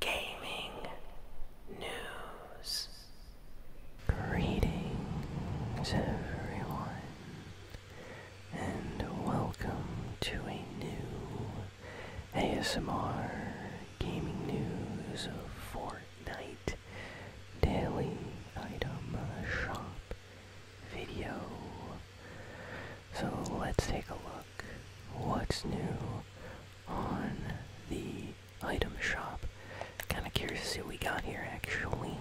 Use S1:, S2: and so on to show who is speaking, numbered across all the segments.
S1: gaming news. Greetings, everyone, and welcome to a new ASMR gaming news of Fortnite daily item shop video. So let's take a look. What's new? on the item shop. Kind of curious to see what we got here actually.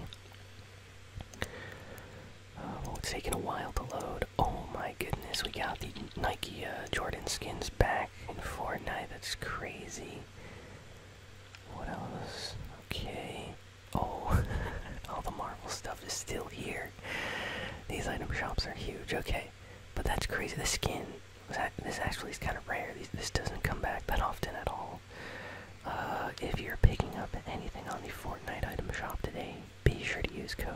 S1: Uh, well, it's taking a while to load. Oh my goodness, we got the Nike uh, Jordan skins back in Fortnite. That's crazy. What else? Okay. Oh, all the Marvel stuff is still here. These item shops are huge. Okay, but that's crazy. The skin this actually is kind of rare. this doesn't come back that often at all. Uh, if you're picking up anything on the Fortnite item shop today, be sure to use code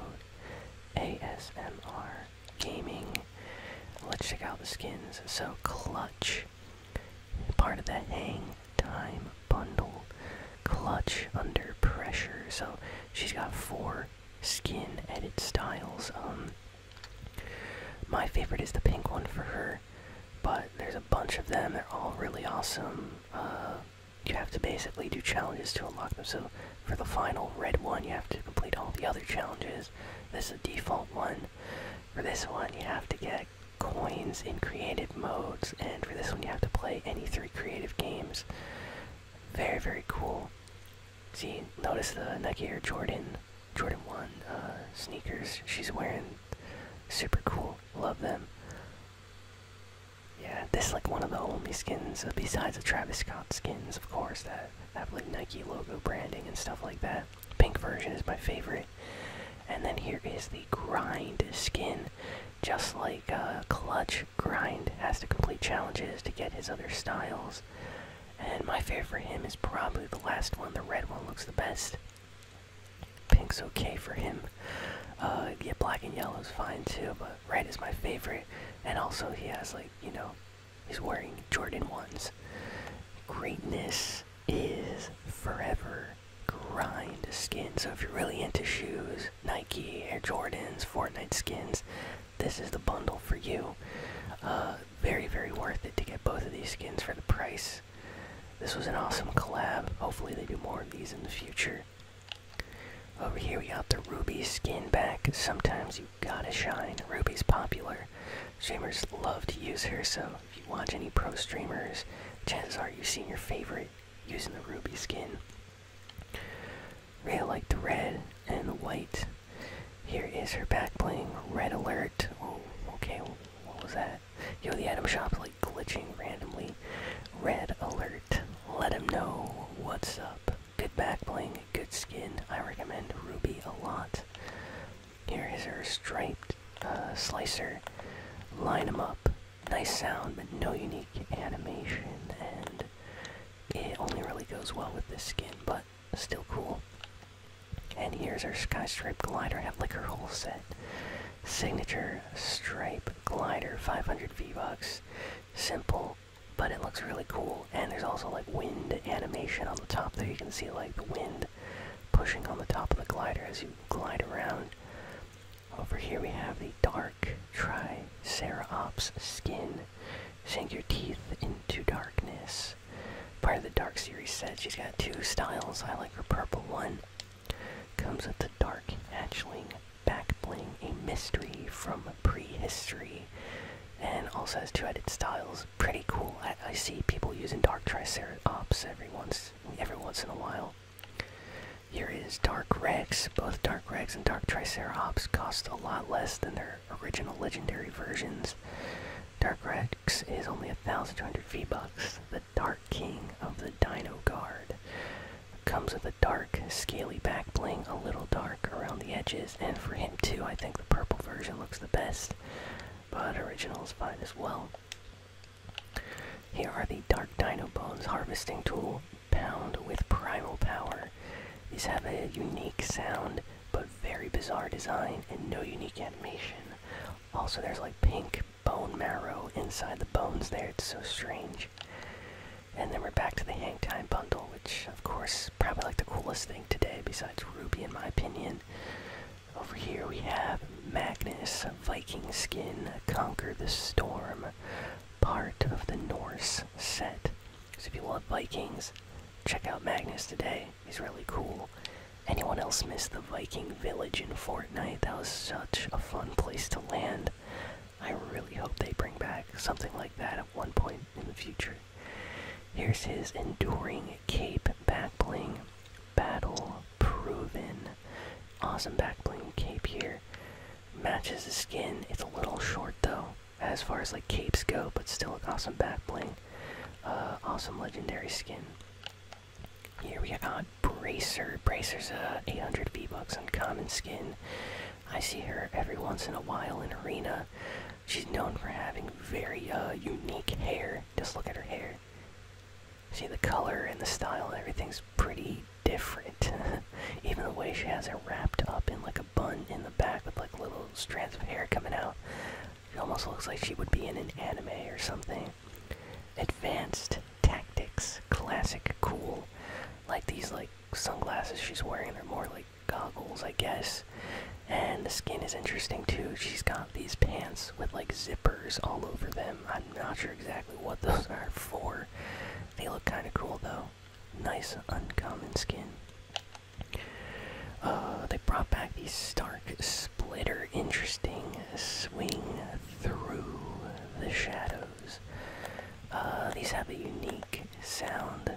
S1: ASMR Gaming. Let's check out the skins. So clutch, part of the hang time bundle. Clutch under pressure. So she's got four skin, edit styles. Um, my favorite is the pink one for her, but there's a bunch of them. They're all really awesome. Uh, you have to basically do challenges to unlock them. So for the final red one, you have to complete all the other challenges. This is a default one. For this one, you have to get coins in creative modes, and for this one, you have to play any three creative games. Very, very cool. See, notice the Nike Air Jordan, Jordan 1 uh, sneakers she's wearing. Super cool. Love them. Yeah, this is like one of the only skins, uh, besides the Travis Scott skins, of course, that have like Nike logo branding and stuff like that. Pink version is my favorite. And then here is the grind skin. Just like uh, Clutch, Grind has to complete challenges to get his other styles. And my favorite for him is probably the last one. The red one looks the best. Pink's okay for him. Uh, yeah, black and yellow is fine too, but red is my favorite. And also, he has like you know, he's wearing Jordan ones. Greatness is forever grind skin. So if you're really into shoes, Nike, Air Jordans, Fortnite skins, this is the bundle for you. Uh, very, very worth it to get both of these skins for the price. This was an awesome collab. Hopefully, they do more of these in the future. Over here, we got the Ruby skin back. Sometimes you gotta shine. Ruby's popular. Streamers love to use her, so if you watch any pro streamers, chances are you've seen your favorite using the Ruby skin. Real like the red and the white. Here is her back bling. Red alert. Oh, okay. What was that? Yo, the item shop's like glitching randomly. Red alert. Let him know what's up. Good back bling. Good skin. I recommend Ruby a lot. Here is her striped uh, slicer. Line them up. Nice sound, but no unique animation. And it only really goes well with this skin, but still cool. And here's our Sky Stripe Glider. I have like her whole set. Signature Stripe Glider, 500 V-Bucks. Simple, but it looks really cool. And there's also like wind animation on the top there. You can see like the wind pushing on the top of the glider as you glide around. Over here we have the Dark Triceratops skin. Shank your teeth into darkness. Part of the Dark series said she's got two styles. I like her purple one. Comes with the dark hatchling back a mystery from prehistory, and also has 2 added styles. Pretty cool. I, I see people using dark triceratops every once every once in a while. Here is Dark Rex. Both dark. Dark Rex and Dark tricerops cost a lot less than their original legendary versions. Dark Rex is only 1,200 V-Bucks. The Dark King of the Dino Guard comes with a dark, scaly back bling, a little dark around the edges, and for him too, I think the purple version looks the best, but original is fine as well. Here are the Dark Dino Bones harvesting tool. Pound with Primal Power. These have a unique sound, but very bizarre design and no unique animation. Also, there's like pink bone marrow inside the bones there. It's so strange. And then we're back to the Hang Time bundle, which, of course, probably like the coolest thing today, besides Ruby, in my opinion. Over here we have Magnus, Viking Skin, Conquer the Storm, part of the Norse set. So if you love Vikings, check out Magnus today. He's really cool. Anyone else miss the Viking village in Fortnite? That was such a fun place to land. I really hope they bring back something like that at one point in the future. Here's his enduring cape back battle proven. Awesome back bling cape here. Matches the skin. It's a little short though, as far as like capes go, but still an awesome back bling. Uh, awesome legendary skin. Here we got Bracer. Bracer's uh, 800 V-Bucks on common skin. I see her every once in a while in Arena. She's known for having very uh, unique hair. Just look at her hair. See the color and the style, everything's pretty different. Even the way she has it wrapped up in like a bun in the back with like little strands of hair coming out. It almost looks like she would be in an anime or something. Advanced tactics, classic, cool. Like these like sunglasses she's wearing, they're more like goggles, I guess. And the skin is interesting too. She's got these pants with like zippers all over them. I'm not sure exactly what those are for. They look kind of cool though. Nice uncommon skin. Uh, they brought back these Stark Splitter. Interesting swing through the shadows. Uh, these have a unique sound,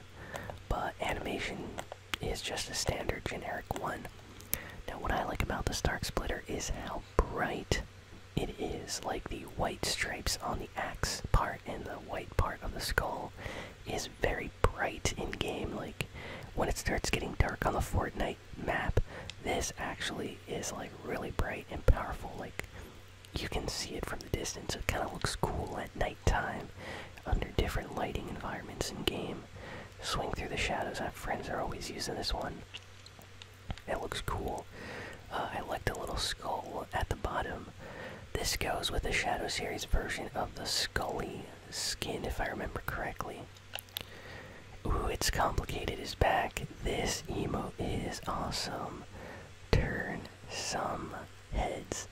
S1: but animation is just a standard generic one. Now, what I like about the Stark Splitter is how bright it is like the white stripes on the axe part and the white part of the skull is very bright in game. Like when it starts getting dark on the Fortnite map, this actually is like really bright and powerful. Like you can see it from the distance. It kind of looks cool at nighttime under different lighting environments in game. Swing through the shadows. My friends are always using this one. It looks cool. Uh, I like the little skull at the bottom. This goes with the Shadow Series version of the Scully skin, if I remember correctly. Ooh, it's complicated is back. This emo is awesome. Turn some heads.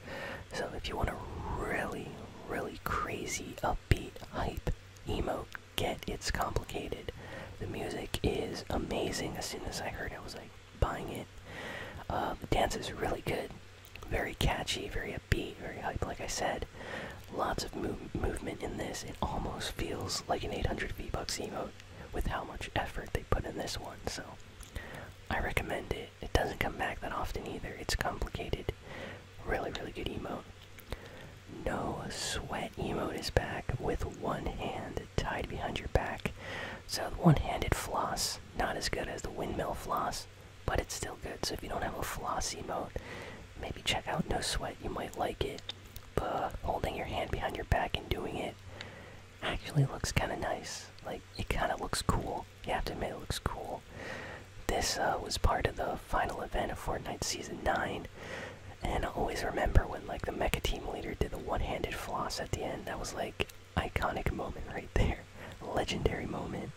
S1: So if you want a really, really crazy, upbeat, hype emo, get It's Complicated. The music is amazing. As soon as I heard it, I was like, buying it. Um, the dance is really good, very catchy, very upbeat, very hype. Like I said, lots of move movement in this. It almost feels like an 800 V Bucks emo with how much effort they put in this one. So I recommend it. It doesn't come back that often either. It's complicated. Really, really good emo. No sweat emote is back with one hand hand tied behind your back. So one-handed floss, not as good as the windmill floss, but it's still good. So if you don't have a flossy emote, maybe check out No Sweat. You might like it. But holding your hand behind your back and doing it actually looks kind of nice. Like it kind of looks cool. You have to admit it looks cool. This uh, was part of the final event of Fortnite Season 9. And always remember when like the mecha team leader did the one-handed floss at the end. That was like iconic moment right there. Legendary moment.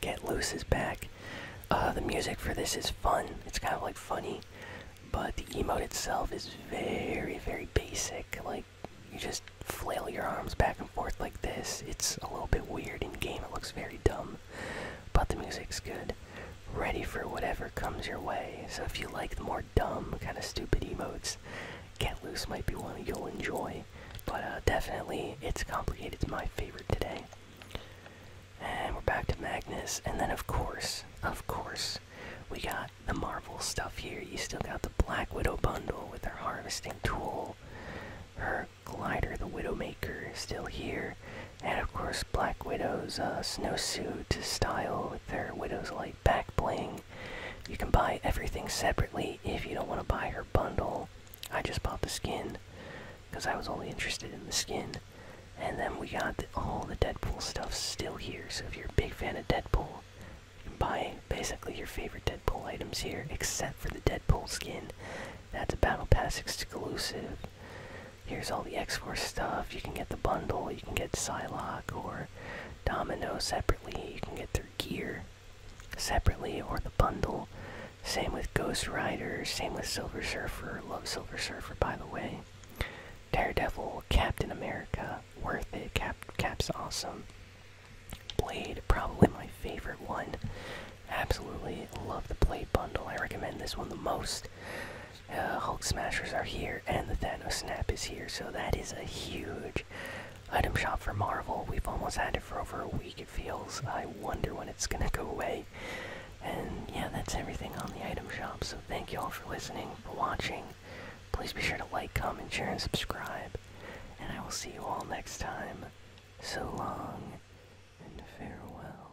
S1: Get Loose is back. Uh, the music for this is fun. It's kind of like funny, but the emote itself is very, very basic. Like you just flail your arms back and forth like this. It's a little bit weird in game. It looks very dumb, but the music's good ready for whatever comes your way. So if you like the more dumb, kind of stupid emotes, Get Loose might be one you'll enjoy. But uh, definitely, It's Complicated is my favorite today. And we're back to Magnus. And then, of course, of course, we got the Marvel stuff here. You still got the Black Widow bundle with her harvesting tool. Her glider, the Widowmaker, still here and of course Black Widow's uh, snowsuit style with their Widow's Light back bling. You can buy everything separately if you don't want to buy her bundle. I just bought the skin because I was only interested in the skin. And then we got all the Deadpool stuff still here, so if you're a big fan of Deadpool, you can buy basically your favorite Deadpool items here, except for the Deadpool skin. That's a Battle Pass exclusive here's all the X-Force stuff. You can get the bundle, you can get Psylocke or Domino separately, you can get their gear separately or the bundle. Same with Ghost Rider, same with Silver Surfer, love Silver Surfer by the way. Daredevil, Captain America, worth it, Cap's awesome. Blade, probably my favorite one. Absolutely love the Blade bundle. I recommend this one the most. Uh, Hulk Smashers are here, and the Thanos Snap is here, so that is a huge item shop for Marvel. We've almost had it for over a week, it feels. I wonder when it's gonna go away. And yeah, that's everything on the item shop, so thank you all for listening, for watching. Please be sure to like, comment, share, and subscribe. And I will see you all next time. So long, and farewell.